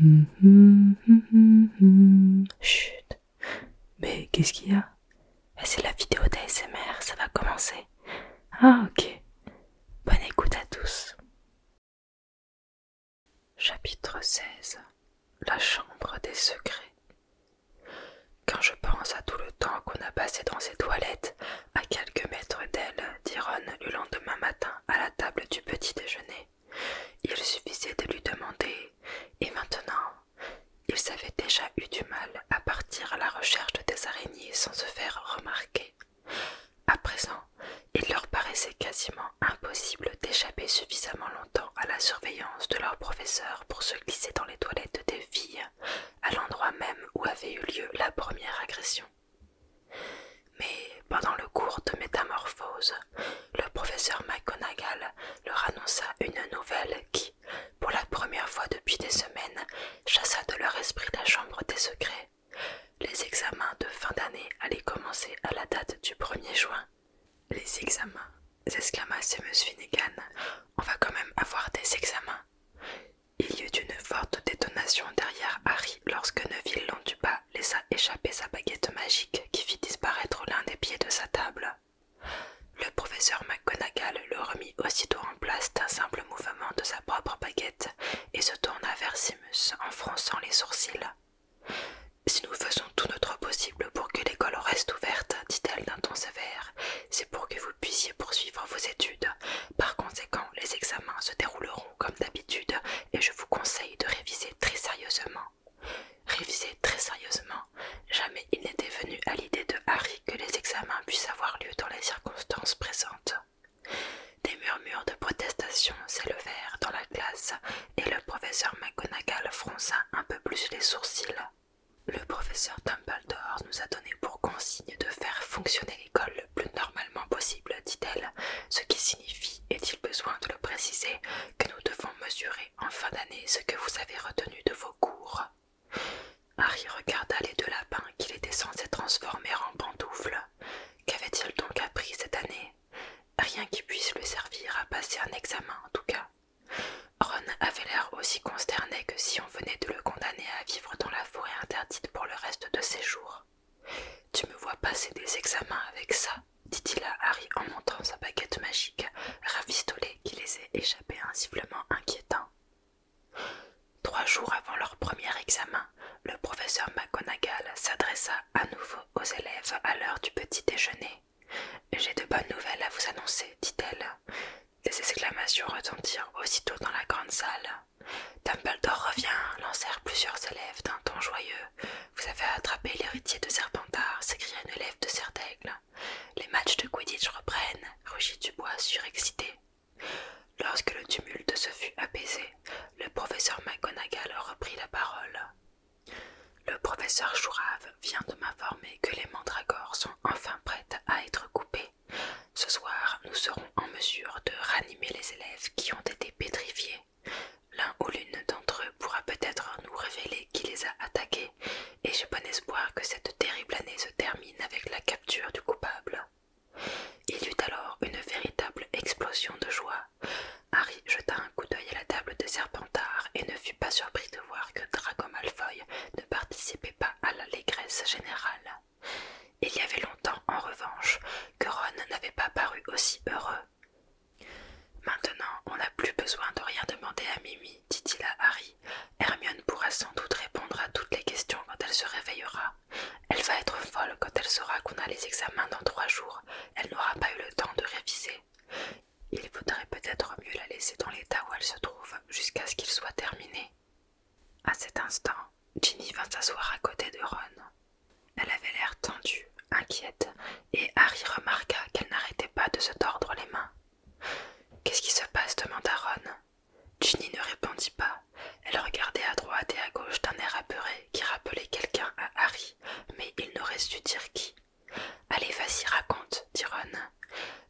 Mm-hmm, mm-hmm, mm-hmm. Chut Mais qu'est-ce qu'il y a eh, C'est la vidéo d'ASMR, ça va commencer. Ah ok. Bonne écoute à tous. Chapitre 16 La chambre des secrets. Quand je pense à tout le temps qu'on a passé dans ces toilettes, à quelques mètres d'elle, dit le lendemain matin à la table du petit déjeuner, il suffisait de lui demander, et maintenant, ils avaient déjà eu du mal à partir à la recherche des araignées sans se faire remarquer. À présent, il leur paraissait quasiment impossible d'échapper suffisamment longtemps à la surveillance de leur professeur pour se glisser dans les toilettes des filles, à l'endroit même où avait eu lieu la première agression. Mais pendant le cours de métamorphose, le professeur McGonagall leur annonça une nouvelle qui, pour la première fois depuis des semaines, chassa de leur esprit la chambre des secrets. Les examens de fin d'année allaient commencer à la date du 1er juin. Les examens, s'exclama Seamus Finnegan, on va quand même avoir des examens. Il y eut une forte détonation derrière Harry lorsque Neville pas, laissa échapper sa baguette magique qui fit disparaître l'un des pieds de sa table. Le professeur McGonagall le remit aussitôt en place d'un simple mouvement de sa propre baguette et se tourna vers Simus en fronçant les sourcils. Si nous faisons tout notre possible pour que l'école reste ouverte, dit-elle d'un ton sévère, c'est pour que vous puissiez poursuivre vos études. Par conséquent, les examens se dérouleront comme d'habitude et je vous conseille de réviser très sérieusement. Réviser très sérieusement, jamais il n'était venu à l'idée de Harry que les examens puissent avoir lieu dans les circonstances présentes. Des murmures de protestation s'élevèrent dans la classe et le professeur McGonagall fronça un peu plus les sourcils. Le professeur Dumbledore nous a donné pour consigne de faire fonctionner l'école le plus normalement possible, dit-elle, ce qui signifie, est-il besoin de le préciser, que nous devons mesurer en fin d'année ce que vous avez retenu de vos cours Harry regarda les deux lapins qu'il était censé transformer en pantoufles. Qu'avait-il donc appris cette année Rien qui puisse lui servir à passer un examen en tout cas. Ron avait l'air aussi consterné que si on venait de le condamner à vivre dans la forêt interdite pour le reste de ses jours. Tu me vois passer des examens avec ça, dit-il à Harry en montrant sa baguette magique, ravistolée qui les échapper échappé un sifflement inquiétant. Trois jours avant leur premier examen, le professeur McGonagall s'adressa à nouveau aux élèves à l'heure du petit déjeuner. J'ai de bonnes nouvelles à vous annoncer, dit-elle. Des exclamations retentirent aussitôt dans la grande salle. Dumbledore revient, lancèrent plusieurs élèves d'un ton joyeux. Vous avez attrapé l'héritier de Serpentard, s'écria un élève de Serdaigle. Les matchs de Quidditch reprennent, rugit Dubois surexcité. Lorsque le tumulte se fut apaisé, le professeur McGonagall reprit la parole. Le professeur Chourave vient de m'informer que les mandragores sont enfin prêtes à être coupées. Ce soir, nous serons en mesure de ranimer les élèves qui ont été pétrifiés L'un ou l'une d'entre eux pourra peut-être nous révéler qui les a attaqués, et j'ai bon espoir que cette terrible année se termine avec la capture du coupable. Il y eut alors une véritable explosion de joie. Harry jeta un coup d'œil à la table de Serpentard et ne fut pas surpris de voir que Draco Malfoy ne participait pas à l'allégresse générale. Il y avait longtemps, en revanche, que Ron n'avait pas paru aussi heureux. Maintenant, on n'a plus besoin de rien demander à Mimi, dit-il à Harry. Hermione pourra sans doute répondre à toutes les questions quand elle se réveillera. Elle va être folle quand elle saura qu'on a les examens dans trois jours. Elle n'aura pas eu le temps de réviser. Il vaudrait peut-être mieux la laisser dans l'état où elle se trouve jusqu'à ce qu'il soit terminé. À cet instant, Ginny vint s'asseoir à côté de Ron. Elle avait l'air tendue, inquiète, et Harry remarqua qu'elle n'arrêtait pas de se tordre les mains. Qu'est-ce qui se passe demanda Ron. Ginny ne répondit pas. Elle regardait à droite et à gauche d'un air apeuré qui rappelait quelqu'un à Harry, mais il n'aurait su dire qui. Allez, vas-y, raconte, dit Ron.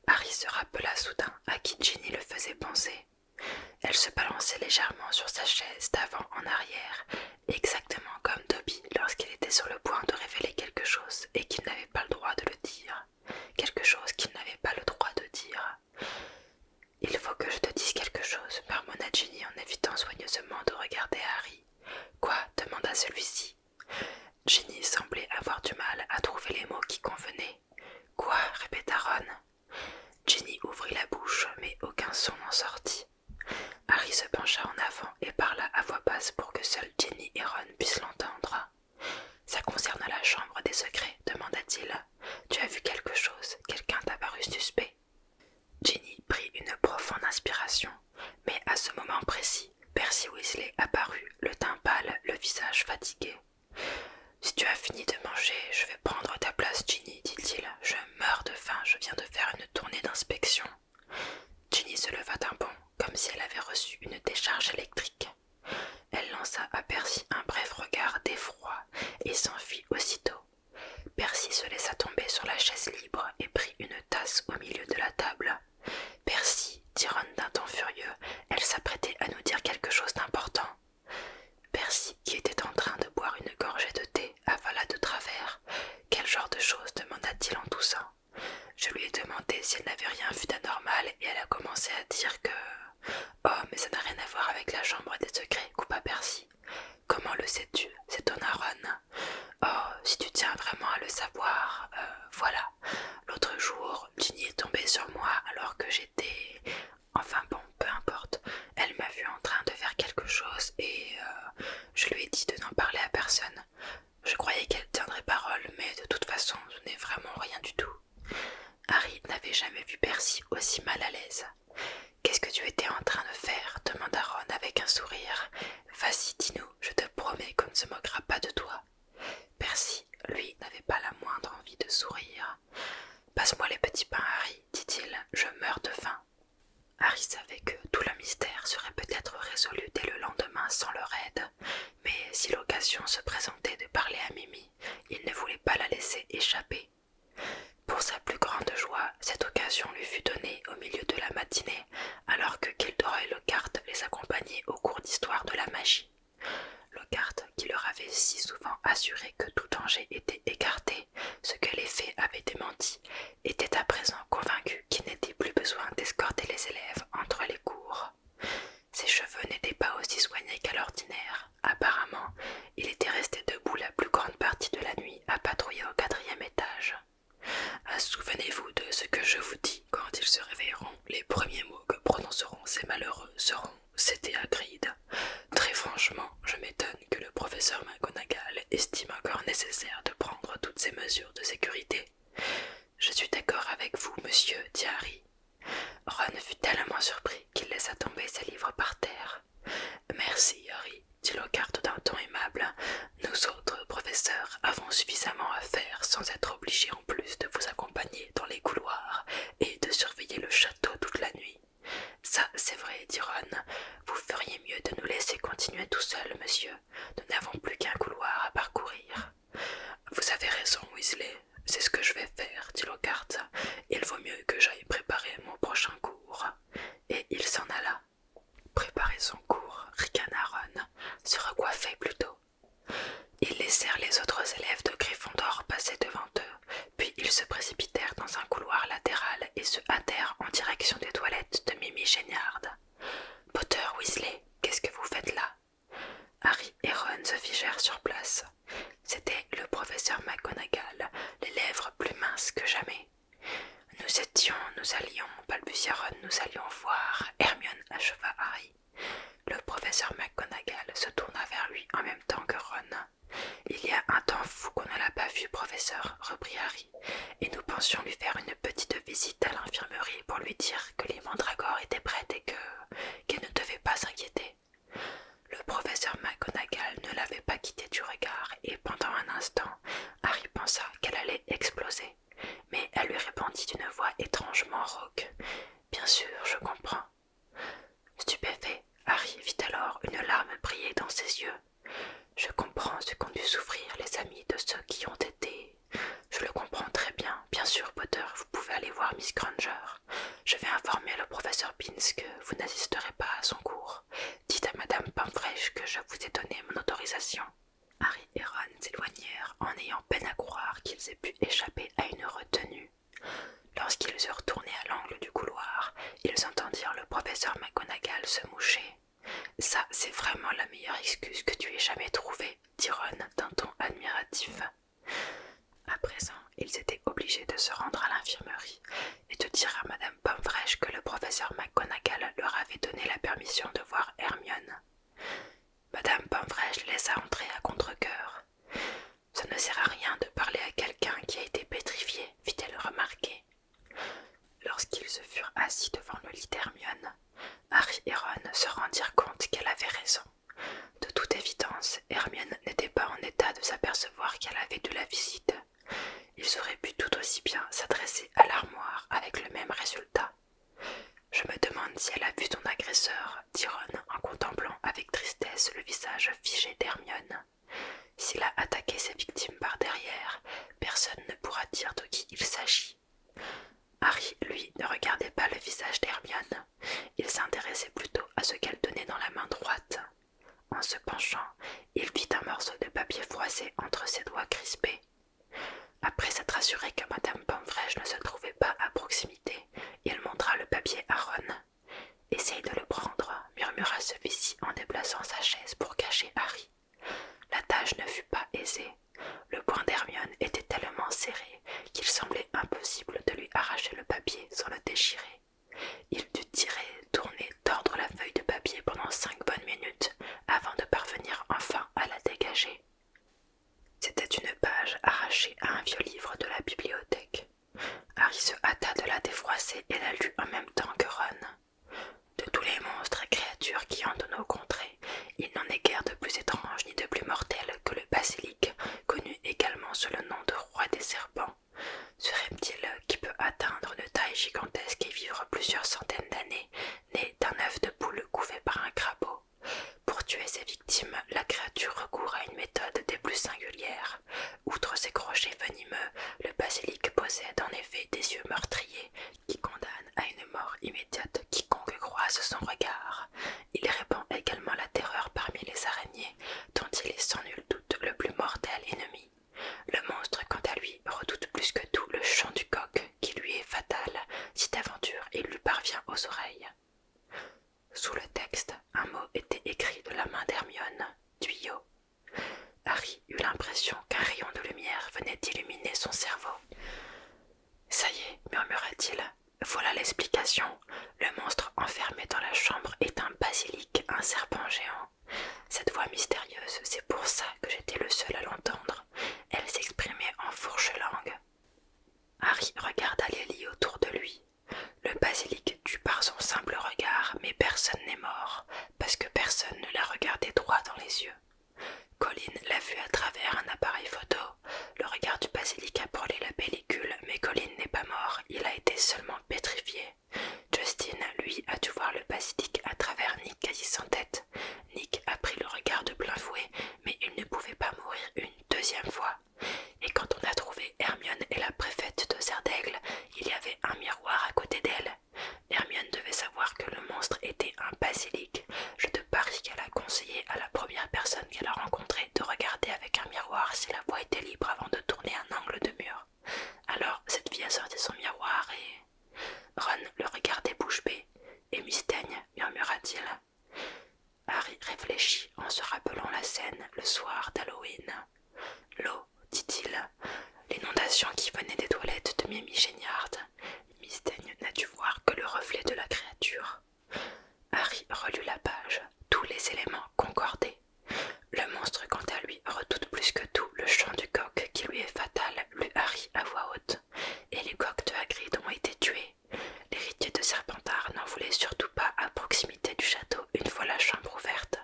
Harry se rappela soudain à qui Ginny le faisait penser. Elle se balançait légèrement sur sa chaise d'avant en arrière exactement comme Toby, lorsqu'il était sur le point de révéler quelque chose et qu'il n'avait pas le droit de le dire, quelque chose qu'il n'avait pas le droit de dire. Il faut que je te dise quelque chose, parmona Ginny en évitant soigneusement de regarder Harry. Quoi demanda celui-ci. Ginny semblait avoir du mal à trouver les mots qui convenaient. Quoi répéta Ron. Ginny ouvrit la bouche, mais aucun son n'en sortit. Harry se pencha en avant et parla à voix basse pour que seul Jenny et Ron puissent l'entendre. Ça concerne la chambre des secrets, demanda-t-il. Tu as vu quelque chose Quelqu'un t'a paru suspect Jenny prit une profonde inspiration, mais à ce moment précis, Percy Weasley apparut, le teint pâle, le visage fatigué. Si tu as fini de manger, je vais prendre ta place, Ginny, dit-il. Je meurs de faim, je viens de faire une tournée d'inspection. Jenny se leva d'un bond, comme si elle avait reçu une décharge électrique. Elle lança à Percy un bref regard d'effroi et s'enfuit aussitôt. Percy se laissa tomber sur la chaise libre et prit une tasse au milieu de la table. Percy, tironne d'un ton furieux, elle s'apprêtait à nous dire quelque chose d'important. Percy, qui était en train de boire une gorgée de thé, « Ah voilà de travers. Quel genre de choses demanda-t-il en toussant. Je lui ai demandé si elle n'avait rien vu d'anormal et elle a commencé à dire que. Oh, mais ça n'a rien à voir avec la chambre des secrets, coupa Percy. Comment le sais-tu C'est ton aronne. Oh, si tu tiens vraiment à le savoir, euh, voilà. L'autre jour, Ginny est tombée sur moi alors que j'étais. Enfin bon, peu importe. Elle m'a vu en train de faire quelque chose et. Euh, je lui ai dit de n'en parler à personne. Je croyais qu'elle tiendrait parole, mais de toute façon, je n'ai vraiment rien du tout. Harry n'avait jamais vu Percy aussi mal à l'aise. Qu'est-ce que tu étais en train de faire demanda Ron avec un sourire. Vas-y, dis-nous, je te promets qu'on ne se moquera pas de toi. Percy, lui, n'avait pas la moindre envie de sourire. Passe-moi les petits pains, Harry, dit-il, je meurs de faim. Harry savait que tout le mystère serait peut-être résolu dès le lendemain sans leur aide, mais si l'occasion se présentait de parler à Mimi, il ne voulait pas la laisser échapper. Pour sa plus grande joie, cette occasion lui fut donnée au milieu de la matinée, alors que et Lockhart les accompagnaient au cours d'histoire de la magie. Lockhart, qui leur avait si souvent assuré que tout danger était écarté, ce que les faits avaient démenti, était à présent convaincu qu'il n'était plus besoin d'escorter les élèves entre les cours. Ses cheveux n'étaient pas aussi soignés qu'à l'ordinaire. Apparemment, il était resté debout la plus grande partie de la nuit à patrouiller au quatrième étage. Ah, souvenez-vous de ce que je vous dis quand ils se réveilleront. Les premiers mots que prononceront ces malheureux seront C'était Agride. Très franchement, je m'étonne que le professeur McGonagall estime encore nécessaire de prendre toutes ces mesures de sécurité. Je suis d'accord avec vous, monsieur, dit Harry. Ron fut tellement surpris qu'il laissa tomber ses livres par terre. Merci, Harry, dit Lockhart d'un ton aimable. Nous autres, professeurs, avons suffisamment à faire sans être obligés en plus de vous accompagner dans les couloirs et de surveiller le château toute la nuit. Ça, c'est vrai, dit Ron. Vous feriez mieux de nous laisser continuer tout seul, monsieur. Nous n'avons plus qu'un couloir à parcourir. Vous avez raison, Weasley. C'est ce que je vais faire, dit Lockhart. Il vaut mieux que j'aille préparer mon prochain cours. Et il s'en alla. Préparer son cours, Ricanaron Se recoiffait plutôt. Ils laissèrent les autres élèves de Gryffondor passer devant eux, puis ils se précipitèrent dans un couloir latéral et se à terre en direction des toilettes de Mimi Géniard. Potter Weasley, qu'est-ce que vous faites là Harry et Ron se figèrent sur place. C'était le professeur McGonagall, les lèvres plus minces que jamais. Nous étions, nous allions, balbutia Ron, nous allions voir. Hermione acheva Harry. Le professeur McGonagall se tourna vers lui en même temps que Ron. Il y a un temps fou qu'on ne l'a pas vu, professeur, reprit Harry et nous pensions lui faire une petite visite à l'infirmerie pour lui dire que les mandragores étaient prêtes et que qu'elle ne devait pas s'inquiéter. Le professeur McGonagall ne l'avait pas quitté du regard, et pendant un instant, Harry pensa qu'elle allait exploser, mais elle lui répondit d'une voix étrangement rauque. Bien sûr, je comprends. Stupéfait, Harry vit alors une larme briller dans ses yeux je comprends ce qu'ont dû souffrir les amis de ceux qui ont été. Je le comprends très bien. Bien sûr, Potter, vous pouvez aller voir Miss Granger. Je vais informer le professeur Binns que vous n'assisterez pas à son cours. Dites à Madame Pomfrey que je vous ai donné mon autorisation. Harry et Ron s'éloignèrent en ayant peine à croire qu'ils aient pu échapper à une retenue. Lorsqu'ils eurent tourné à l'angle du couloir, ils entendirent le professeur McGonagall se moucher. Ça, c'est vraiment la meilleure excuse que tu aies jamais trouvée, dit Ron d'un ton admiratif. À présent, ils étaient obligés de se rendre à l'infirmerie et de dire à Madame Pomfrey que le professeur McGonagall leur avait donné la permission de voir Hermione. Madame Pomfrey laissa entrer à contre Ça ne sert à rien de parler à quelqu'un qui a été pétrifié, fit-elle remarquer. Lorsqu'ils se furent assis devant le lit d'Hermione, Harry et Ron se rendirent compte qu'elle avait raison. De toute évidence, Hermione n'était pas en état de s'apercevoir qu'elle avait dû la visite. Ils auraient pu tout aussi bien s'adresser à l'armoire avec le même résultat. Je me demande si elle a vu ton agresseur, dit Ron en contemplant avec tristesse le visage figé d'Hermione. S'il a attaqué ses victimes par derrière, Personne ne pourra dire de qui il s'agit. Harry, lui, ne regardait pas le visage d'Hermione. Il s'intéressait plutôt à ce qu'elle tenait dans la main droite. En se penchant, il vit un morceau de papier froissé entre ses doigts crispés. Après s'être assuré que Madame Pomfrey ne se trouvait pas à proximité, il montra le papier à Ron. Essaye de le prendre, murmura celui-ci en déplaçant sa chaise pour cacher Harry. La tâche ne fut pas aisée. Le point d'Hermione était tellement serré qu'il semblait impossible de lui arracher le papier sans le déchirer. Il dut tirer, tourner, tordre la feuille de papier pendant cinq bonnes minutes avant de parvenir enfin à la dégager. C'était une page arrachée à un vieux livre de la bibliothèque. Harry se hâta de la défroisser et la lut en même temps que Ron. De tous les monstres et créatures qui dans nos contrées, il n'en est guère de plus étrange ni de plus mortel que le basilic, connu également sous le nom de roi des serpents. Ce reptile, qui peut atteindre une taille gigantesque et vivre plusieurs centaines d'années, naît d'un œuf de poule couvé par un crapaud. Pour tuer ses victimes, la créature recourt à une méthode des plus singulières. Outre ses crochets venimeux, le basilic possède en effet des yeux meurtriers qui condamne à une mort immédiate quiconque croise son regard. Il répand également la terreur parmi les araignées, dont il est sans nul doute le plus mortel ennemi. Le monstre, quant à lui, redoute plus que tout le chant du coq, qui lui est fatal si d'aventure il lui parvient aux oreilles. Sous le texte, un mot était écrit de la main d'Hermione, tuyau. Harry eut l'impression qu'un rayon de lumière venait d'illuminer son cerveau. Ça y est, murmura-t-il, voilà l'explication. Le monstre enfermé dans la chambre est un basilic, un serpent géant. Cette voix mystérieuse, c'est pour ça que j'étais le seul à l'entendre. Elle s'exprimait en fourche-langue. Harry regarda les autour de lui. Le basilic tue par son simple regard, mais personne n'est mort, parce que personne ne l'a regardait droit dans les yeux. Colin l'a vu à travers un appareil photo. Le regard du basilic a brûlé la pellicule, mais Colin n'est pas mort, il a été seulement pétrifié. Justin, lui, a dû voir le basilic à travers Nick quasi sans tête. Nick a pris le regard de plein fouet, mais il ne pouvait pas mourir une deuxième fois. Et quand on a trouvé Hermione et la préfète de Zerdègle, il y avait un miroir à côté d'elle. Hermione devait savoir que le monstre était un basilic. Je te parie qu'elle a conseillé à la première personne qu'elle a rencontrée de regarder avec un miroir si la voie était libre avant de tourner un angle de mur. Alors cette fille a sorti son miroir et. Ron le regardait bouche bée. Et Mystagne murmura-t-il. Harry réfléchit en se rappelant la scène le soir d'Halloween. L'eau, dit-il, l'inondation qui venait des toilettes de Mimi Géniard. Mistaigne n'a dû voir que le reflet de la créature. Harry relut la page. Tous les éléments concordaient. Le monstre, quant à lui, redoute plus que tout le chant du coq qui lui est fatal, Lui, Harry à voix haute. Et les coqs de Hagrid ont été tués. L'héritier de Serpentard n'en voulait surtout pas à proximité du château une fois la chambre ouverte.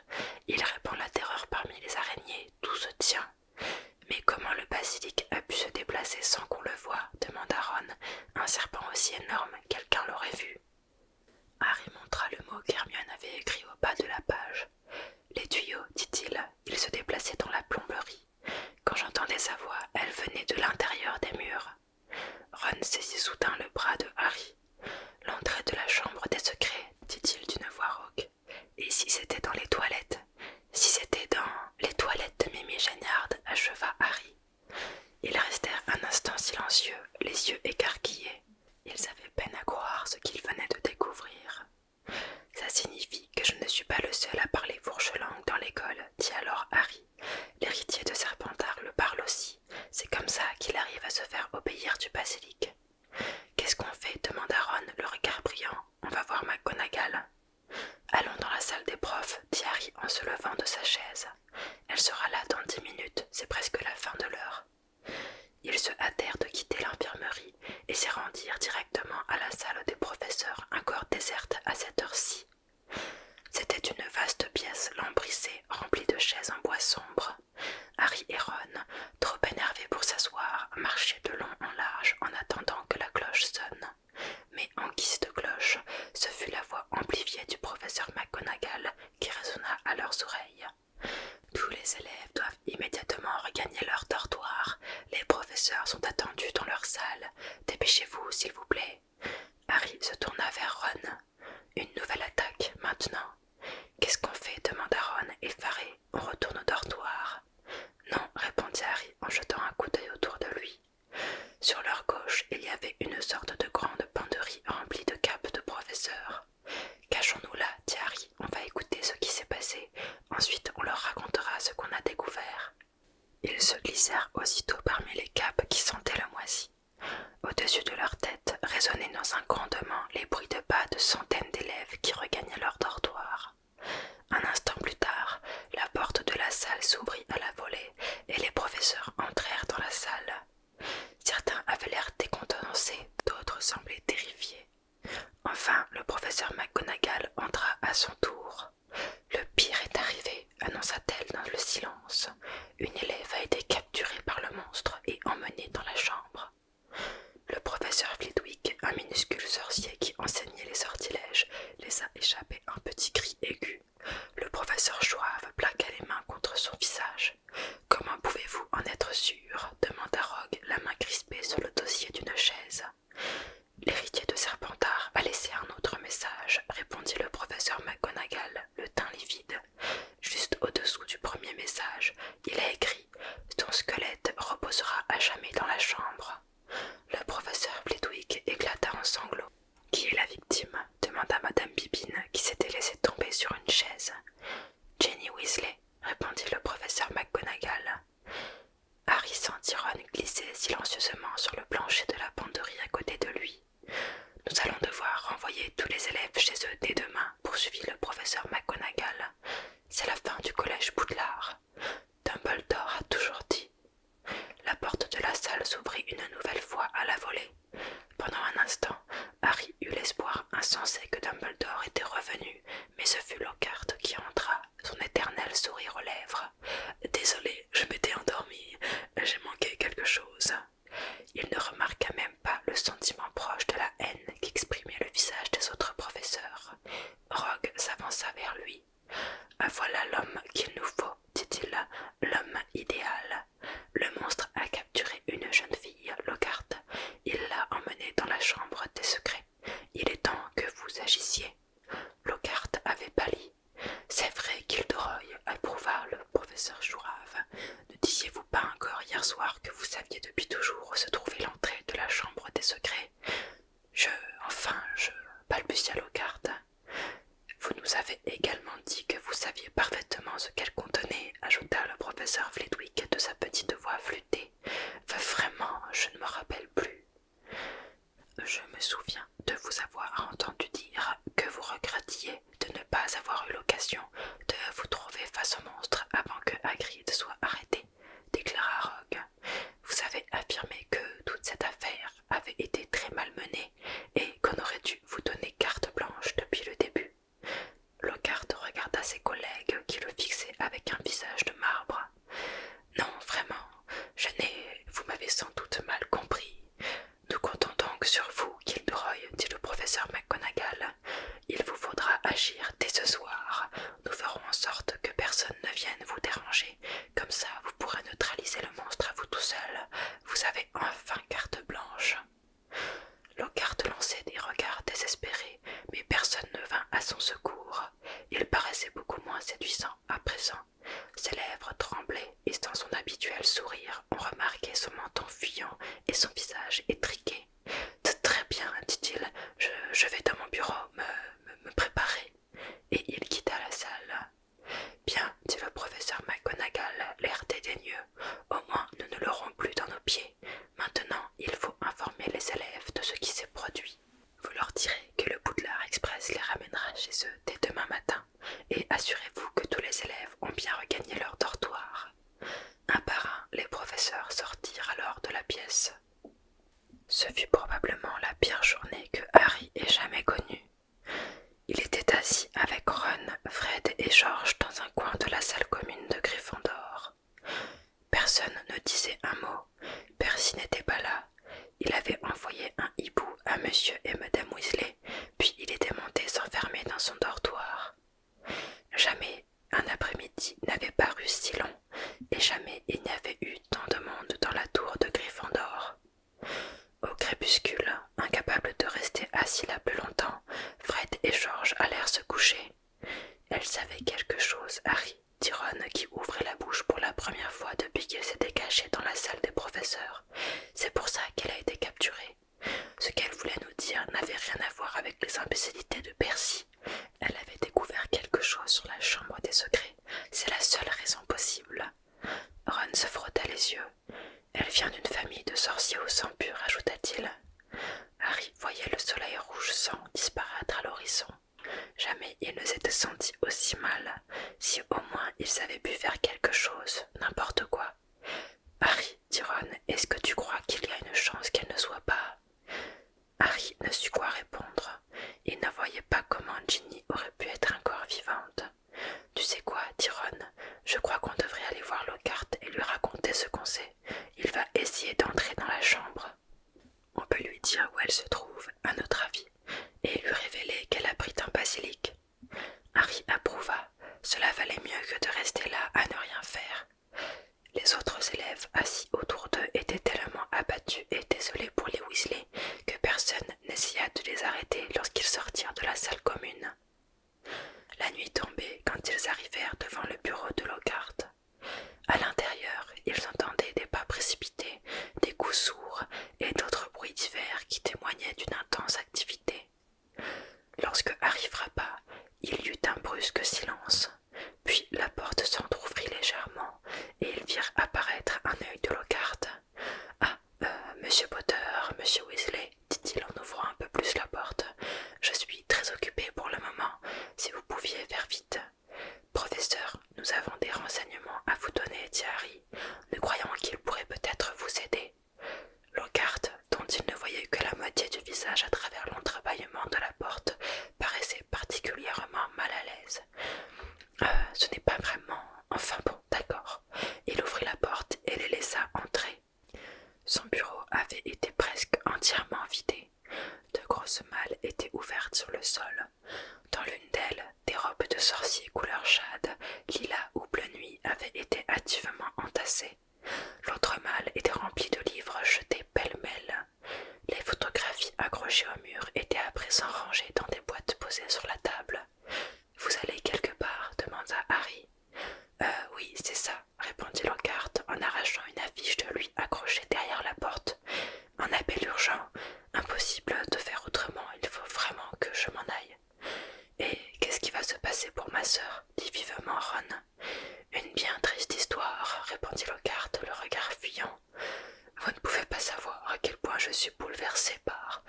Il répand la terreur parmi les araignées. Tout se tient mais comment le basilic a pu se déplacer sans qu'on le voie demanda Ron. Un serpent aussi énorme, quelqu'un l'aurait vu. Harry montra le mot qu'Hermione avait écrit au bas de la page. Les tuyaux, dit-il, ils se déplaçaient dans la plomberie. Quand j'entendais sa voix, elle venait de l'intérieur des murs. Ron saisit soudain le bras de Harry. L'entrée de la chambre des secrets, dit-il d'une voix rauque. Et si c'était dans les toilettes Si c'était dans les toilettes de Mimi Géniarde, acheva Harry. Ils restèrent un instant silencieux, les yeux écarquillés. Ils avaient peine à croire ce qu'ils venaient de découvrir. Ça signifie que je ne suis pas le seul à parler fourche dans l'école, dit alors Harry. L'héritier de Serpentard le parle aussi. C'est comme ça qu'il arrive à se faire obéir du basilic. Qu'est-ce qu'on fait demanda Ron, le regard brillant on va voir McGonagall. Allons dans la salle des profs, dit Harry en se levant de sa chaise. Elle sera là dans dix minutes, c'est presque la fin de l'heure. Ils se hâtèrent de quitter l'infirmerie et s'y rendirent directement à la salle des professeurs, encore déserte à cette heure-ci. C'était une vaste pièce lambrissée, remplie de chaises en bois sombre. Harry et Ron, trop énervés pour s'asseoir, marchaient de long en large en attendant que la cloche sonne. Mais en guise de cloche, ce fut la voix amplifiée du professeur McGonagall qui résonna à leurs oreilles. Tous les élèves doivent immédiatement regagner leur dortoir. Les professeurs sont attendus dans leur salle. Dépêchez-vous, s'il vous plaît. Harry se tourna vers Ron. Une nouvelle attaque maintenant. Qu'est-ce qu'on fait demanda Ron, effaré on retourne au dortoir. Non, répondit Harry en jetant un coup d'œil autour de lui. Sur leur gauche, il y avait une sorte de grande penderie remplie de capes de professeurs. Cachons-nous là, dit Harry, on va écouter ce qui s'est passé. Ensuite, on leur racontera ce qu'on a découvert. Ils se glissèrent aussitôt parmi les capes qui sentaient le moisi. Au-dessus de leur tête résonnaient dans un grondement les bruits de pas de centaines d'élèves qui regagnaient leur dortoir. Un instant plus tard, la porte de la salle s'ouvrit à la volée et les professeurs entrèrent dans la salle. Certains avaient l'air décontenancés, d'autres semblaient terrifiés. Enfin, le professeur McGonagall entra à son tour. Le pire est arrivé, annonça-t-elle dans le silence. Une élève a été capturée par le monstre et emmenée dans la chambre. Le professeur Flitwick, un minuscule sorcier qui enseignait les sortilèges, laissa échapper un petit cri aigu. Le professeur Joave plaqua les mains contre son visage. Comment pouvez-vous en être sûr demanda Rogue, la main crispée sur le dossier d'une chaise. L'héritier de Serpentard a laissé un autre message, répondit le professeur McGonagall, le teint livide. Juste au-dessous du premier message, il a écrit Ton squelette reposera à jamais dans la chambre. Le professeur Bledwick éclata en sanglots. Qui est la victime demanda Madame Bibine, qui s'était laissée tomber sur une chaise. Jenny Weasley, répondit le professeur McGonagall. Harry sentit Ron glisser silencieusement sur le plancher de la panderie à côté de lui. Nous allons devoir renvoyer tous les élèves chez eux dès demain, poursuivit le professeur McGonagall. C'est la fin du collège Boudlard. Dumbledore a toujours dit. La porte de la salle s'ouvrit une nouvelle fois à la volée. Pendant un instant, Harry eut l'espoir insensé que Dumbledore était revenu, mais ce fut Lockhart qui entra, son éternel sourire aux lèvres. Désolé, je m'étais endormi, j'ai manqué quelque chose. Il ne remarqua même pas le sentiment proche de la haine qu'exprimait le visage des autres professeurs. Rogue s'avança vers lui. Ah, voilà l'homme qu'il nous faut, dit-il, l'homme idéal. Le monstre a capturé une jeune fille, Lockhart. Il l'a emmenée dans la chambre des secrets. Il est temps que vous agissiez. Lockhart avait pâli. C'est vrai, Gilderoy, approuva le professeur Jourave. Ne disiez-vous pas encore hier soir que vous saviez depuis toujours où se trouvait l'entrée de la chambre des secrets je. enfin, je. balbutia Locarde. Vous nous avez également dit que vous saviez parfaitement ce qu'elle contenait, ajouta le professeur Flitwick de sa petite voix flûtée. Vraiment, je ne me rappelle plus. Je me souviens de vous avoir entendu dire que vous regrettiez de ne pas avoir eu l'occasion de vous trouver face au monstre avant que Hagrid soit arrêté, déclara Rogue. Vous avez affirmé que toute cette affaire avait été très mal menée et qu'on aurait dû vous donner carte blanche depuis le début. Lockhart regarda ses collègues qui le fixaient avec un visage de marbre. Non, vraiment, je n'ai. Vous m'avez sans doute mal compris. Nous comptons donc sur vous, Gilderoy, dit le professeur McGonagall. Il vous faudra agir dès ce soir. Nous ferons en sorte que personne ne vienne vous déranger comme ça, vous pourrez neutraliser le monstre à vous tout seul. Vous avez enfin carte blanche. Locarte lançait des regards désespérés, mais personne ne vint à son secours. Il paraissait beaucoup moins séduisant à présent. Ses lèvres tremblaient, et sans son habituel sourire, on remarquait son menton fuyant et son visage étriqué. Très bien, dit-il, je, vais dans mon bureau me préparer et il quitta la salle. Bien, dit le professeur McGonagall, l'air dédaigneux, au moins nous ne l'aurons plus dans nos pieds. Maintenant, il faut informer les élèves de ce qui s'est produit. Vous leur direz que le Boudelard Express les ramènera chez eux dès demain matin, et assurez-vous que tous les élèves ont bien regagné leur dortoir. Un par un, les professeurs sortirent alors de la pièce. Ce fut probablement la pire journée que Harry ait jamais connue. Il était assis avec Ron, Fred et George dans un coin de la salle commune de Gryffondor. Personne ne disait un mot, Percy n'était pas là. Il avait envoyé un hibou à monsieur et madame Weasley, puis il était monté s'enfermer dans son dortoir. Jamais un après-midi n'avait paru si long et jamais il n'y avait eu tant de monde dans la tour de Gryffondor. Au crépuscule, incapable de rester assis là plus longtemps, Fred et George allèrent se coucher. Elle savait quelque chose, Harry, Tyrone, qui ouvrait la bouche pour la première fois depuis qu'il s'était caché dans la salle des professeurs. C'est pour ça qu'elle a été capturée. Ce qu'elle voulait nous dire n'avait rien à voir avec les imbécilités de Percy. Elle avait découvert quelque chose sur la chambre des secrets c'est la seule raison possible. Ron se frotta les yeux. Elle vient d'une famille de sorciers au sang pur, ajouta-t-il. Harry voyait le soleil rouge sang disparaître à l'horizon. Jamais il ne s'était senti aussi mal, si au moins ils avaient pu faire quelque chose, n'importe quoi. Harry, dit Ron, est-ce que tu crois qu'il y a une chance qu'elle ne soit pas Harry ne sut quoi répondre. Il ne voyait pas comment Ginny aurait pu être encore vivante. Tu sais quoi, Tyrone? je crois qu'on devrait aller voir Lockhart et lui raconter ce qu'on sait. Il va essayer d'entrer dans la chambre. On peut lui dire où elle se trouve, à notre avis, et lui révéler qu'elle pris un basilic. Harry approuva. Cela valait mieux que de rester là à ne rien faire. Les autres élèves assis autour d'eux étaient tellement abattus et désolés pour les Weasley que personne n'essaya de les arrêter lorsqu'ils sortirent de la salle commune. La nuit tombait quand ils arrivèrent devant le bureau de Lockhart. À l'intérieur, ils entendaient des pas précipités, des coups sourds et d'autres bruits divers qui témoignaient d'une intense activité. Lorsque Harry frappa, il y eut un brusque silence, puis la porte s'entr'ouvrit légèrement et ils virent apparaître un œil de Lockhart. Ah, euh, monsieur Potter, monsieur Weasley, dit-il en ouvrant un peu plus la porte, je suis très occupé pour le moment, si vous pouviez faire vite. Professeur, nous avons des renseignements à vous donner, dit Harry. Nous croyons qu'il pourrait peut-être vous aider. Lockhart, dont il ne voyait que la moitié du visage à travers l'entrebâillement de la porte, paraissait particulièrement mal à l'aise. Euh, ce n'est pas vraiment. Enfin bon, d'accord. Il ouvrit la porte et les laissa entrer. Son bureau avait été presque entièrement vidé. De grosses malles étaient ouvertes sur le sol. Dans l'une d'elles, des robes de sorciers couleur jade, lilas ou bleu nuit avaient été hâtivement entassées. L'autre malle était remplie de livres jetés pêle-mêle. Les photographies accrochés au mur était à présent rangés dans des boîtes posées sur la table. Vous allez quelque part demanda Harry. Euh, oui, c'est ça, répondit Locarte, en arrachant une affiche de lui accrochée derrière la porte. Un appel urgent, impossible de faire autrement, il faut vraiment que je m'en aille. Et qu'est-ce qui va se passer pour ma sœur dit vivement Ron. Une bien triste histoire, répondit Locarte, le regard fuyant. Vous ne pouvez pas savoir à quel point je suis bouleversé par.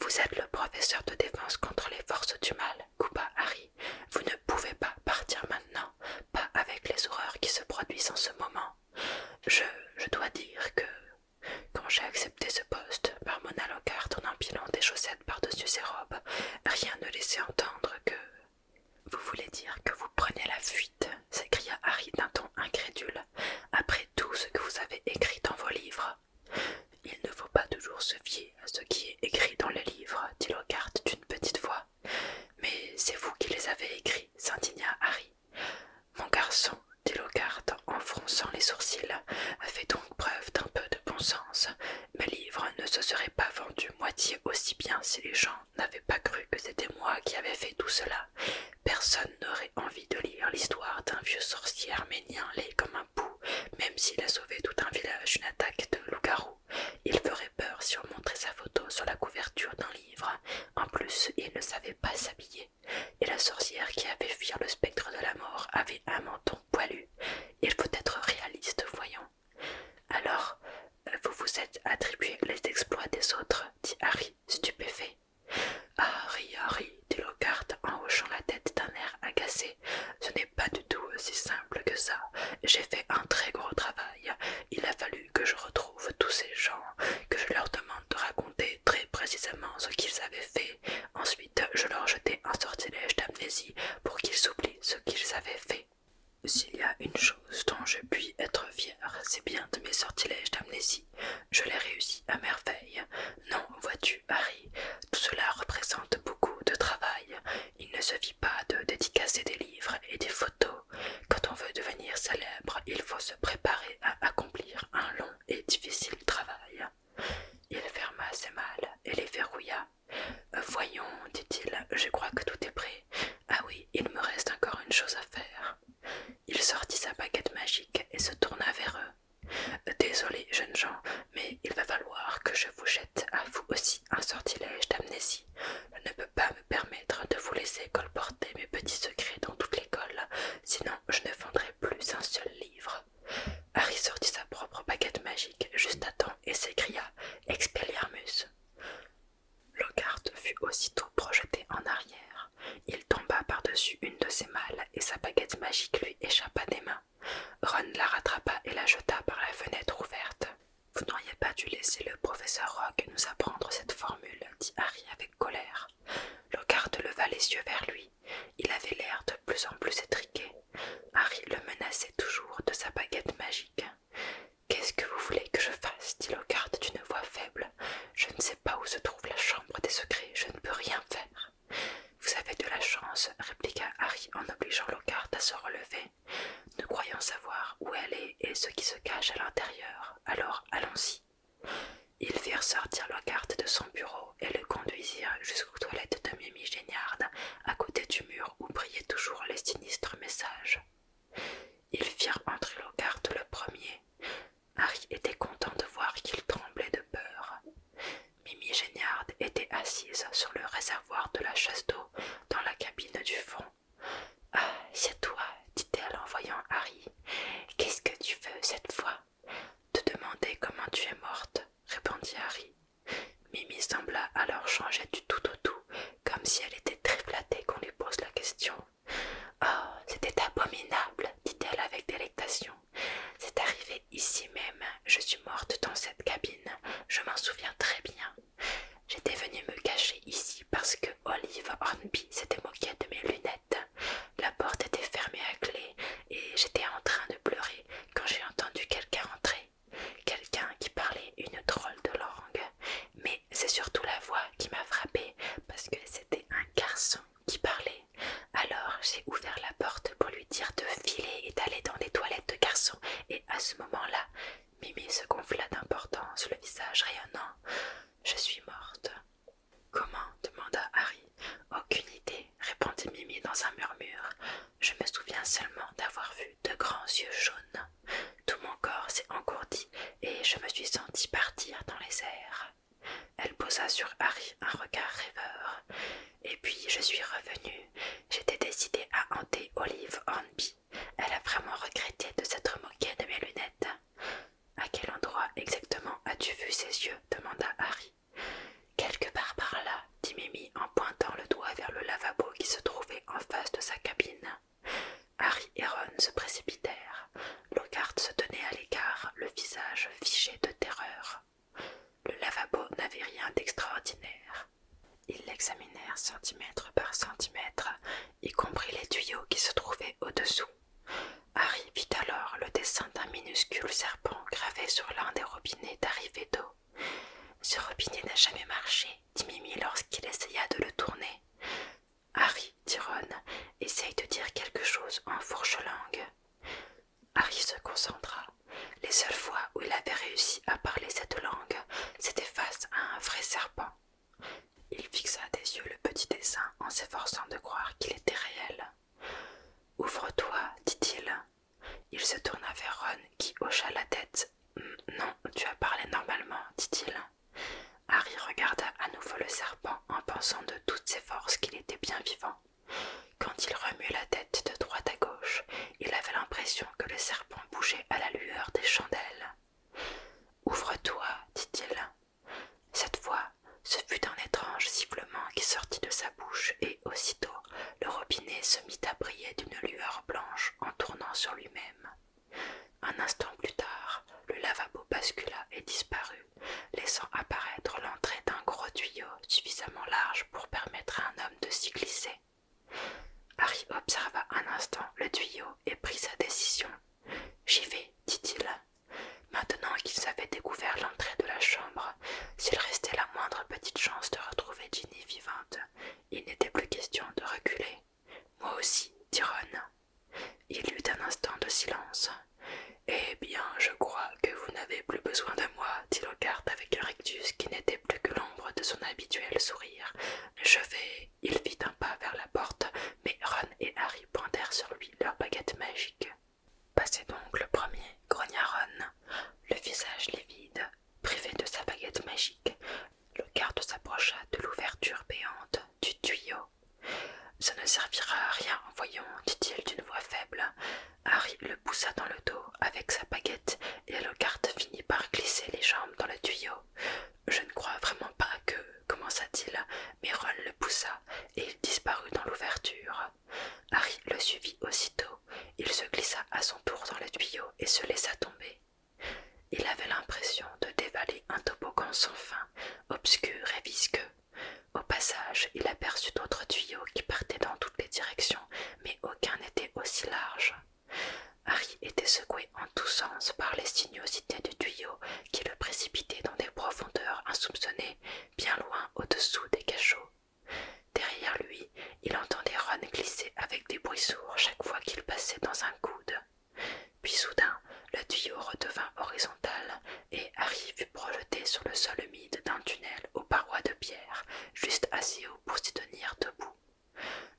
Vous êtes le professeur de défense contre les forces du mal, coupa Harry. Vous ne pouvez pas partir maintenant, pas avec les horreurs qui se produisent en ce moment. Je, je dois dire que quand j'ai accepté ce poste, par mon alocarde en empilant des chaussettes par-dessus ses robes, rien ne laissait entendre que. Vous voulez dire que vous prenez la fuite s'écria Harry d'un ton incrédule, après tout ce que vous avez écrit dans vos livres. Il ne faut pas toujours se fier à ce qui est écrit dans les livres, dit Lockhart d'une petite voix. Mais c'est vous qui les avez écrits, s'indigna Harry. Mon garçon, dit Lockhart en fronçant les sourcils, a fait donc preuve d'un peu de bon sens. Mes livres ne se seraient pas vendus moitié aussi bien si les gens n'avaient pas cru que c'était moi qui avais fait tout cela, Personne n'aurait envie de lire l'histoire d'un vieux sorcier arménien laid comme un pou, même s'il a sauvé tout un village d'une attaque de loups-garous. « Il ferait peur si on montrait sa photo sur la couverture d'un livre. En plus, il ne savait pas s'habiller. Et la sorcière qui avait fuir le spectre de la mort avait un menton poilu. Il faut être réaliste, voyons. Alors, euh, vous vous êtes attribué les exploits des autres, dit Harry, stupéfait. Ah, ri, dit Lockhart en hochant la tête d'un air agacé. Ce n'est pas du tout aussi simple que ça. J'ai fait un très gros travail. Il a fallu que je retrouve tous ces gens, que je leur demande de raconter très précisément ce qu'ils avaient fait. Ensuite, je leur jetais un sortilège d'amnésie pour qu'ils oublient ce qu'ils avaient fait. S'il y a une chose dont je puis être fier, c'est bien de mes sortilèges d'amnésie je l'ai réussi à merveille. Non, vois-tu, Harry, tout cela représente beaucoup de travail. Il ne suffit pas de dédicacer des livres et des photos. Quand on veut devenir célèbre, il faut se préparer à accomplir un long et difficile travail. Il ferma ses malles et les verrouilla. Voyons, dit-il, je crois que tout est prêt. Ah oui, il me reste encore une chose à faire. Il sortit sa baguette magique et se tourna vers eux. Désolé, jeunes gens, mais il va falloir que je vous jette à vous aussi un sortilège d'amnésie. Je ne peux pas me permettre de vous laisser colporter mes petits secrets dans toute l'école, sinon je ne vendrai plus un seul livre. Harry sortit sa propre baguette magique juste à temps et s'écria Expelliarmus. Lockhart fut aussitôt projeté en arrière il tomba par-dessus une de ses malles et sa baguette magique lui échappa des mains. Ron la rattrapa et la jeta par la fenêtre ouverte. Vous n'auriez pas dû laisser le professeur Rock nous apprendre cette formule, dit Harry avec colère. Lockhart leva les yeux vers lui. Il avait l'air de plus en plus étriqué. Harry le menaçait toujours de sa baguette magique. Qu'est-ce que vous voulez que je fasse dit Lockhart d'une voix faible. Je ne sais pas où se trouve la chambre des secrets, je ne peux rien faire. Vous avez de la chance, répliqua Harry en obligeant Lockhart à se relever. Nous croyant savoir où elle est et ce qui se cache à l'intérieur, alors allons-y. Ils firent sortir Lockhart de son bureau et le conduisirent jusqu'aux toilettes de Mimi Géniarde, à côté du mur où brillaient toujours les sinistres messages. Ils firent entrer Lockhart le premier. Harry était content de voir qu'il tremblait de peur. Mimi Géniarde était assise sur le réservoir de la chasse d'eau dans la cabine du fond. Ah, c'est toi, dit-elle en voyant Harry. Qu'est-ce que tu veux cette fois Te demander comment tu es morte, répondit Harry. Mimi sembla alors changer du tout au tout, comme si elle était très flattée qu'on lui pose la question. Oh, c'était abominable, dit-elle avec délectation. C'est arrivé ici même. Je suis morte dans cette cabine. Je m'en souviens très bien. J'étais venue me cacher ici parce que Olive Hornby s'était moquée de mes lunettes. La porte était fermée à clé et j'étais en train de pleurer quand j'ai entendu quelqu'un entrer. Quelqu'un qui parlait une drôle de langue. Mais c'est surtout la voix qui m'a frappée parce que c'était un garçon qui parlait. Alors j'ai ouvert la porte pour lui dire de filer et d'aller dans les toilettes de garçon, et à ce moment-là, Mimi se gonfla d'importance, le visage rayonnant. Je suis morte. Comment demanda Harry. Aucune idée, répondit Mimi dans un murmure. Je me souviens seulement d'avoir vu de grands yeux jaunes. Tout mon corps s'est engourdi et je me suis sentie partir dans les airs. Elle posa sur Harry un regard rêveur. Et puis je suis revenue. J'étais décidée à hanter Olive Hornby. Elle a vraiment regretté de s'être moquée de mes lunettes. À quel endroit exactement as-tu vu ses yeux demanda Harry. Quelque part par là, dit Mimi en pointant le doigt vers le lavabo qui se trouvait en face de sa cabine. Harry et Ron se précipitèrent. Logarde se tenait à l'écart, le visage figé de terreur. Le lavabo n'avait rien d'extraordinaire. Ils l'examinèrent centimètre par centimètre, y compris les tuyaux qui se trouvaient au-dessous. Harry vit alors le dessin d'un minuscule serpent gravé sur l'un des robinets d'arrivée d'eau. Ce robinet n'a jamais marché, dit Mimi lorsqu'il essaya de le tourner. Harry, dit Ron, essaye de dire quelque chose en fourche-langue. Harry se concentra. Les seules fois où il avait réussi à parler cette langue, c'était face à un vrai serpent. Il fixa des yeux le petit dessin en s'efforçant de croire qu'il était réel. Ouvre-toi, dit-il. Il se tourna vers Ron qui hocha la tête. Non, tu as parlé normalement, dit-il. Harry regarda à nouveau le serpent en pensant de toutes ses forces qu'il était bien vivant. Quand il remuait la tête de droite à gauche, il avait l'impression que le serpent bougeait à la lueur des chandelles. Ouvre-toi, dit-il. Cette fois, ce fut un étrange sifflement qui sortit de sa bouche et aussitôt le robinet se mit à briller d'une lueur blanche en tournant sur lui-même. Un instant plus tard, le lavabo bascula et disparut laissant apparaître l'entrée d'un gros tuyau suffisamment large pour permettre à un homme de s'y glisser. Harry observa un instant le tuyau et prit sa décision. J'y vais, dit-il. Maintenant qu'ils avaient découvert l'entrée de la chambre, s'il restait la moindre petite chance de retrouver Ginny vivante, il n'était plus question de reculer. Moi aussi, dit il y eut un instant de silence. Eh bien, je crois que vous n'avez plus besoin de moi, dit Lockhart avec un rictus qui n'était plus que l'ombre de son habituel sourire. Je vais. Il fit un pas vers la porte, mais Ron et Harry pointèrent sur lui leurs baguettes magiques. Passez donc le premier, grogna Ron, le visage livide, privé de sa baguette magique. Lockhart s'approcha de l'ouverture béante du tuyau ça ne servira à rien, voyons, dit-il d'une voix faible. Harry le poussa dans le dos avec sa baguette et Lockhart finit par glisser les jambes dans le tuyau. Je ne crois vraiment pas que, commença-t-il, mais le poussa et il disparut dans l'ouverture. Harry le suivit aussitôt. Il se glissa à son tour dans le tuyau et se laissa tomber. Il avait l'impression de dévaler un toboggan sans fin, obscur et visqueux, au passage, il aperçut d'autres tuyaux qui partaient dans toutes les directions, mais aucun n'était aussi large. Harry était secoué en tous sens par les sinuosités du tuyau qui le précipitait dans des profondeurs insoupçonnées, bien loin au-dessous des cachots. Derrière lui, il entendait Ron glisser avec des bruits sourds chaque fois qu'il passait dans un coude. Puis soudain, le tuyau redevint horizontal et Harry fut projeté sur le sol humide d'un tunnel aux parois de pierre, juste assez haut pour s'y tenir debout.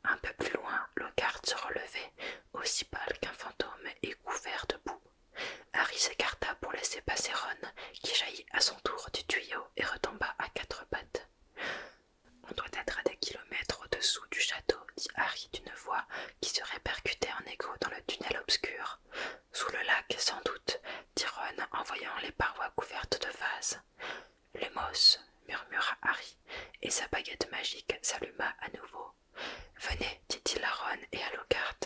Un peu plus loin, Lockhart se relevait, aussi pâle qu'un fantôme et couvert de boue. Harry s'écarta pour laisser passer Ron, qui jaillit à son tour du tuyau et retomba à quatre pattes. On doit être à des kilomètres au-dessous du château, dit Harry d'une voix qui se répercutait en écho dans le tunnel obscur. Sous le lac, sans doute, dit Ron en voyant les parois couvertes de vases. Le moss, murmura Harry, et sa baguette magique s'alluma à nouveau. Venez, dit-il à Ron et à Lockhart.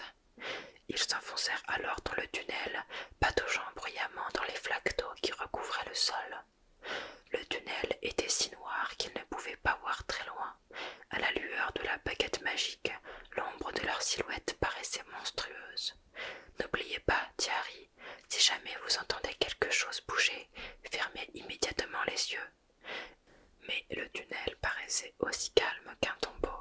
Ils s'enfoncèrent alors dans le tunnel, pataugeant bruyamment dans les flaques d'eau qui recouvraient le sol. Le tunnel était si noir qu'ils ne pouvaient pas voir très loin, à la lueur de la baguette magique, l'ombre de leur silhouette paraissait monstrueuse. N'oubliez pas, dit si jamais vous entendez quelque chose bouger, fermez immédiatement les yeux. Mais le tunnel paraissait aussi calme qu'un tombeau.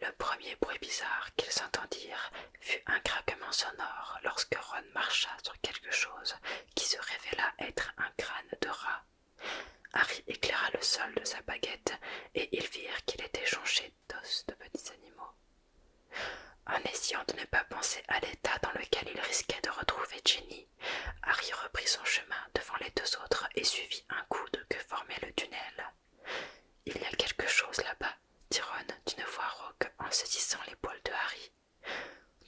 Le premier bruit bizarre qu'ils entendirent fut un craquement sonore lorsque Ron marcha sur quelque chose qui se révéla être un crâne de rat. Harry éclaira le sol de sa baguette et ils virent qu'il était jonché d'os de petits animaux. En essayant de ne pas penser à l'état dans lequel il risquait de retrouver Jenny, Harry reprit son chemin devant les deux autres et suivit un coude que formait le tunnel. Il y a quelque chose là-bas, dit Ron d'une voix rauque en saisissant l'épaule de Harry.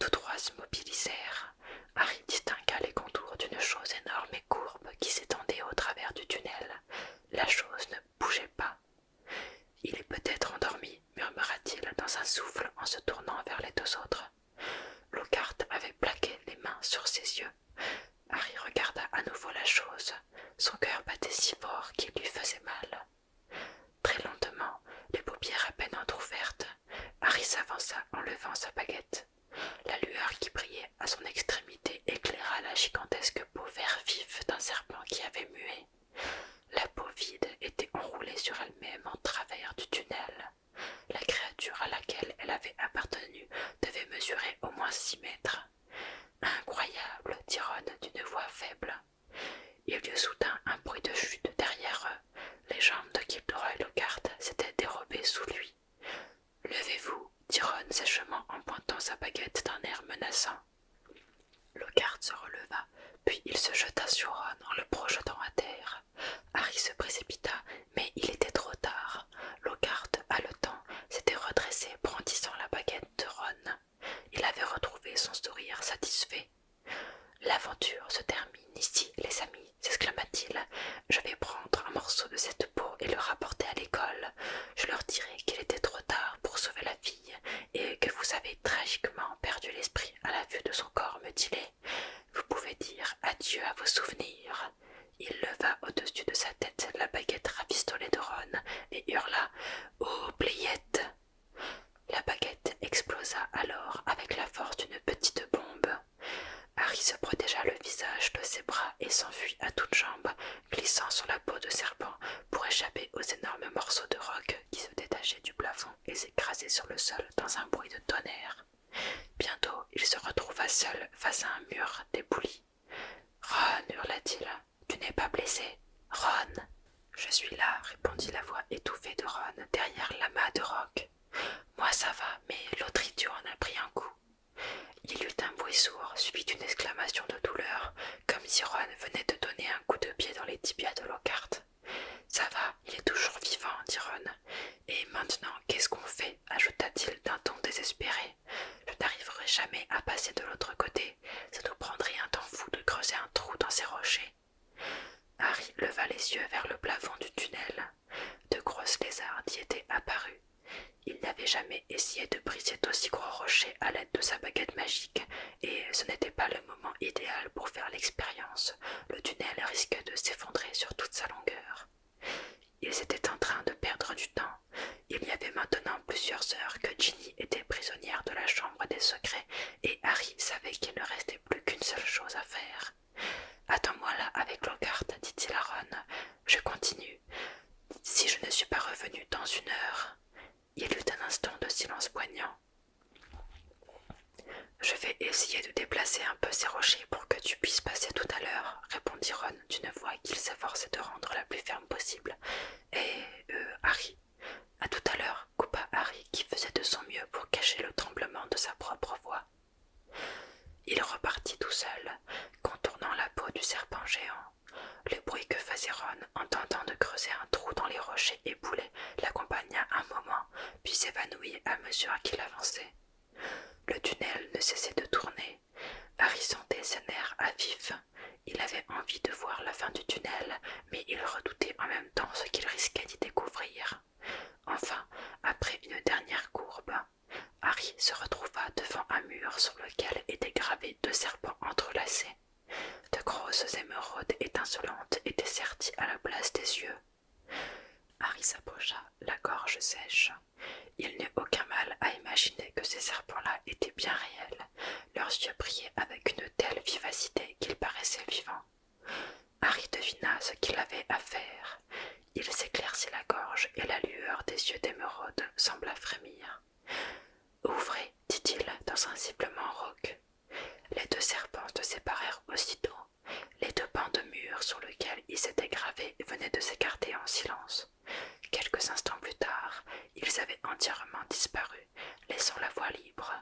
Tous trois se mobilisèrent. Harry distingua les contours d'une chose énorme courbe qui s'étendait au travers du tunnel. La chose ne bougeait pas. Il est peut-être endormi, murmura-t-il dans un souffle en se tournant vers les deux autres. Lockhart avait plaqué les mains sur ses yeux. Harry regarda à nouveau la chose. Son cœur battait si fort qu'il lui faisait mal. Très lentement, les paupières à peine entrouvertes, Harry s'avança en levant sa baguette. La lueur qui brillait à son extrémité éclaira la gigantesque peau vert vif d'un serpent qui avait mué. La peau vide était enroulée sur elle-même en travers du tunnel. La créature à laquelle elle avait appartenu devait mesurer au moins six mètres. Incroyable, dit d'une voix faible. Il y eut soudain un bruit de chute derrière eux. Les jambes de Gilderoy Lockhart s'étaient dérobées sous lui. Levez-vous, dit Ron sèchement en pointant sa baguette d'un air menaçant. Lockhart se releva, puis il se jeta sur Ron en le projetant à terre. Harry se précipita, mais il était trop tard. Lockhart, haletant, s'était redressé, brandissant la baguette de Ron. Il avait retrouvé son sourire satisfait. L'aventure se termine ici, les amis, s'exclama-t-il. Je vais prendre un morceau de cette peau et le rapporter à l'école. Je leur dirai qu'il était trop tard pour sauver la fille et que vous avez tragiquement perdu l'esprit à la vue de son corps mutilé. Vous pouvez dire adieu à vos souvenirs. Il leva au-dessus de sa tête la baguette rafistolée de Ron et hurla oh, blayette La baguette explosa alors avec la force d'une petite bombe. Harry se protégea le visage de ses bras et s'enfuit à toutes jambes, glissant sur la peau de serpent pour échapper aux énormes morceaux de roc qui se détachaient du plafond et s'écrasaient sur le sol dans un bruit de tonnerre. Bientôt, il se retrouva seul face à un mur débouli. Ron, hurla-t-il, tu n'es pas blessé Ron Je suis là, répondit la voix étouffée de Ron derrière l'amas de roc. Moi ça va, mais l'autre idiot en a pris un coup. Il eut un bruit sourd, suivi d'une exclamation de douleur, comme si Ron venait de donner un coup de pied dans les tibias de Lockhart. Ça va, il est toujours vivant, dit Ron. Et maintenant, qu'est-ce qu'on fait ajouta-t-il d'un ton désespéré. Je n'arriverai jamais à passer de l'autre côté. Ça nous prendrait un temps fou de creuser un trou dans ces rochers. Harry leva les yeux vers le plafond du tunnel. De grosses lézards y étaient apparues, il n'avait jamais essayé de briser d'aussi gros rocher à l'aide de sa baguette magique, et ce n'était pas le moment idéal pour faire l'expérience. Le tunnel risquait de s'effondrer sur toute sa longueur. Ils étaient en train de perdre du temps. Il y avait maintenant plusieurs heures que Ginny était prisonnière de la chambre des secrets, et Harry savait qu'il ne restait plus qu'une seule chose à faire. Attends-moi là avec Lockhart, dit-il à Ron. Je continue. Si je ne suis pas revenu dans une heure, il y eut un instant de silence poignant. Je vais essayer de déplacer un peu ces rochers pour que tu puisses passer tout à l'heure, répondit Ron d'une voix qu'il s'efforçait de rendre la plus ferme possible. Et euh, Harry. À tout à l'heure, coupa Harry qui faisait de son mieux pour cacher le tremblement de sa propre voix. Il repartit tout seul, contournant la peau du serpent géant. Le bruit que faisait Ron en tentant de creuser un trou dans les rochers éboulés l'accompagna un moment, puis s'évanouit à mesure qu'il avançait. Le tunnel ne cessait de tourner. Harry sentait ses à vif. Il avait envie de voir la fin du tunnel, mais il redoutait en même temps ce qu'il risquait d'y découvrir. Enfin, après une dernière courbe, Harry se retrouva devant un mur sur lequel étaient gravés deux serpents entrelacés. De grosses émeraudes étincelantes étaient serties à la place des yeux. Harry s'approcha, la gorge sèche. Il n'eut aucun mal à imaginer que ces serpents-là étaient bien réels. Leurs yeux brillaient avec une telle vivacité qu'ils paraissaient vivants. Harry devina ce qu'il avait à faire. Il s'éclaircit la gorge et la lueur des yeux d'émeraude sembla frémir. Ouvrez, dit-il dans un ciblement rauque. Les deux serpents se séparèrent aussitôt. Les deux pans de mur sur lesquels ils s'étaient gravés venaient de s'écarter en silence. Quelques instants plus tard, ils avaient entièrement disparu, laissant la voie libre.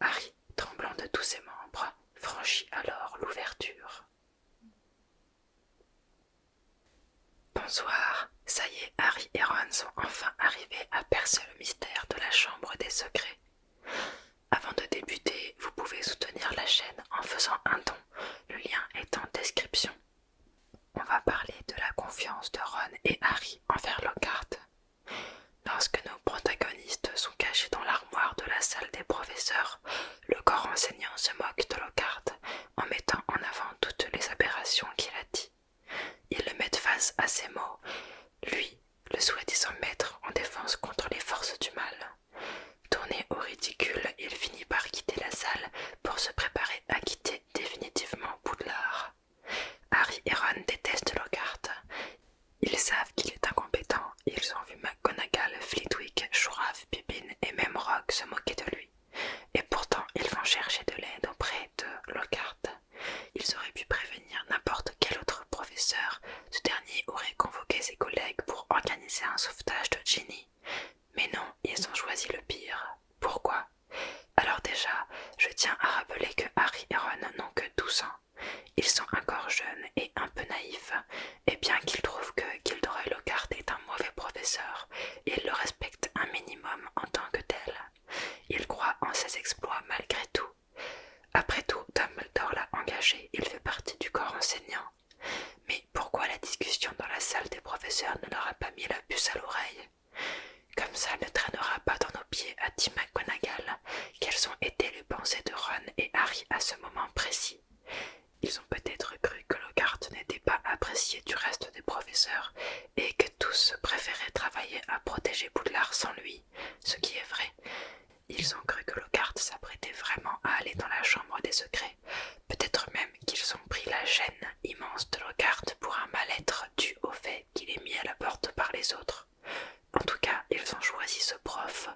Harry, tremblant de tous ses membres, franchit alors l'ouverture. Bonsoir, ça y est, Harry et Ron sont enfin arrivés à percer le mystère de la chambre des secrets. Avant de débuter, vous pouvez soutenir la chaîne en faisant un don, le lien est en description. On va parler de la confiance de Ron et Harry envers Lockhart. Lorsque nos protagonistes sont cachés dans l'armoire de la salle des professeurs, le corps enseignant se moque de Lockhart en mettant en avant toutes les aberrations qu'il a dit. Il le mettent face à ses mots, lui, le soi mettre mettre en défense contre les forces du mal. Tourné au ridicule, il finit par quitter la salle pour se préparer à quitter définitivement Poudlard. Harry et Ron détestent Lockhart. Ils savent qu'il est incompétent. Ils ont vu McGonagall, Flitwick, Chourave, Pippin et même Rock se moquer de lui. Et pourtant, ils vont chercher de l'aide auprès de Lockhart. Ils auraient pu prévenir n'importe quel autre professeur. Ce dernier aurait convoqué ses collègues pour organiser un sauvetage de Ginny. Mais non, ils ont choisi le pire. Pourquoi Alors déjà, je tiens à rappeler que Harry et Ron n'ont que 12 ans. Ils sont encore jeunes et un peu naïfs, et bien qu'ils trouvent que Gilderoy Lockhart est un mauvais professeur, il le respecte un minimum en tant que tel. Il croit en ses exploits malgré tout. Après tout, Dumbledore l'a engagé, il fait partie du corps enseignant. Mais pourquoi la discussion dans la salle des professeurs ne leur a pas mis la puce à l'oreille Comme ça, ne traînera pas dans nos pieds à Tim McGonagall quelles ont été les pensées de Ron et Harry à ce moment précis. Ils ont peut-être cru que Lockhart n'était pas apprécié du reste des professeurs et que tous préféraient travailler à protéger Boudlard sans lui, ce qui est vrai. Ils ont cru que Lockhart s'apprêtait vraiment à aller dans la chambre des secrets. Peut-être même qu'ils ont pris la gêne immense de Lockhart pour un mal-être dû au fait qu'il est mis à la porte par les autres. En tout cas, ils ont choisi ce prof,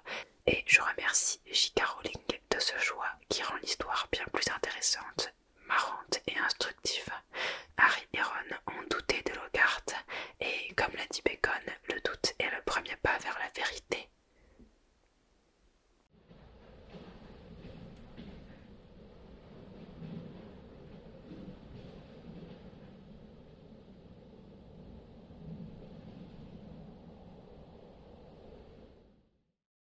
et je remercie J.K. Rowling de ce choix qui rend l'histoire bien plus intéressante marrante et instructive. Harry et Ron ont douté de Lockhart, et comme l'a dit Bacon, le doute est le premier pas vers la vérité.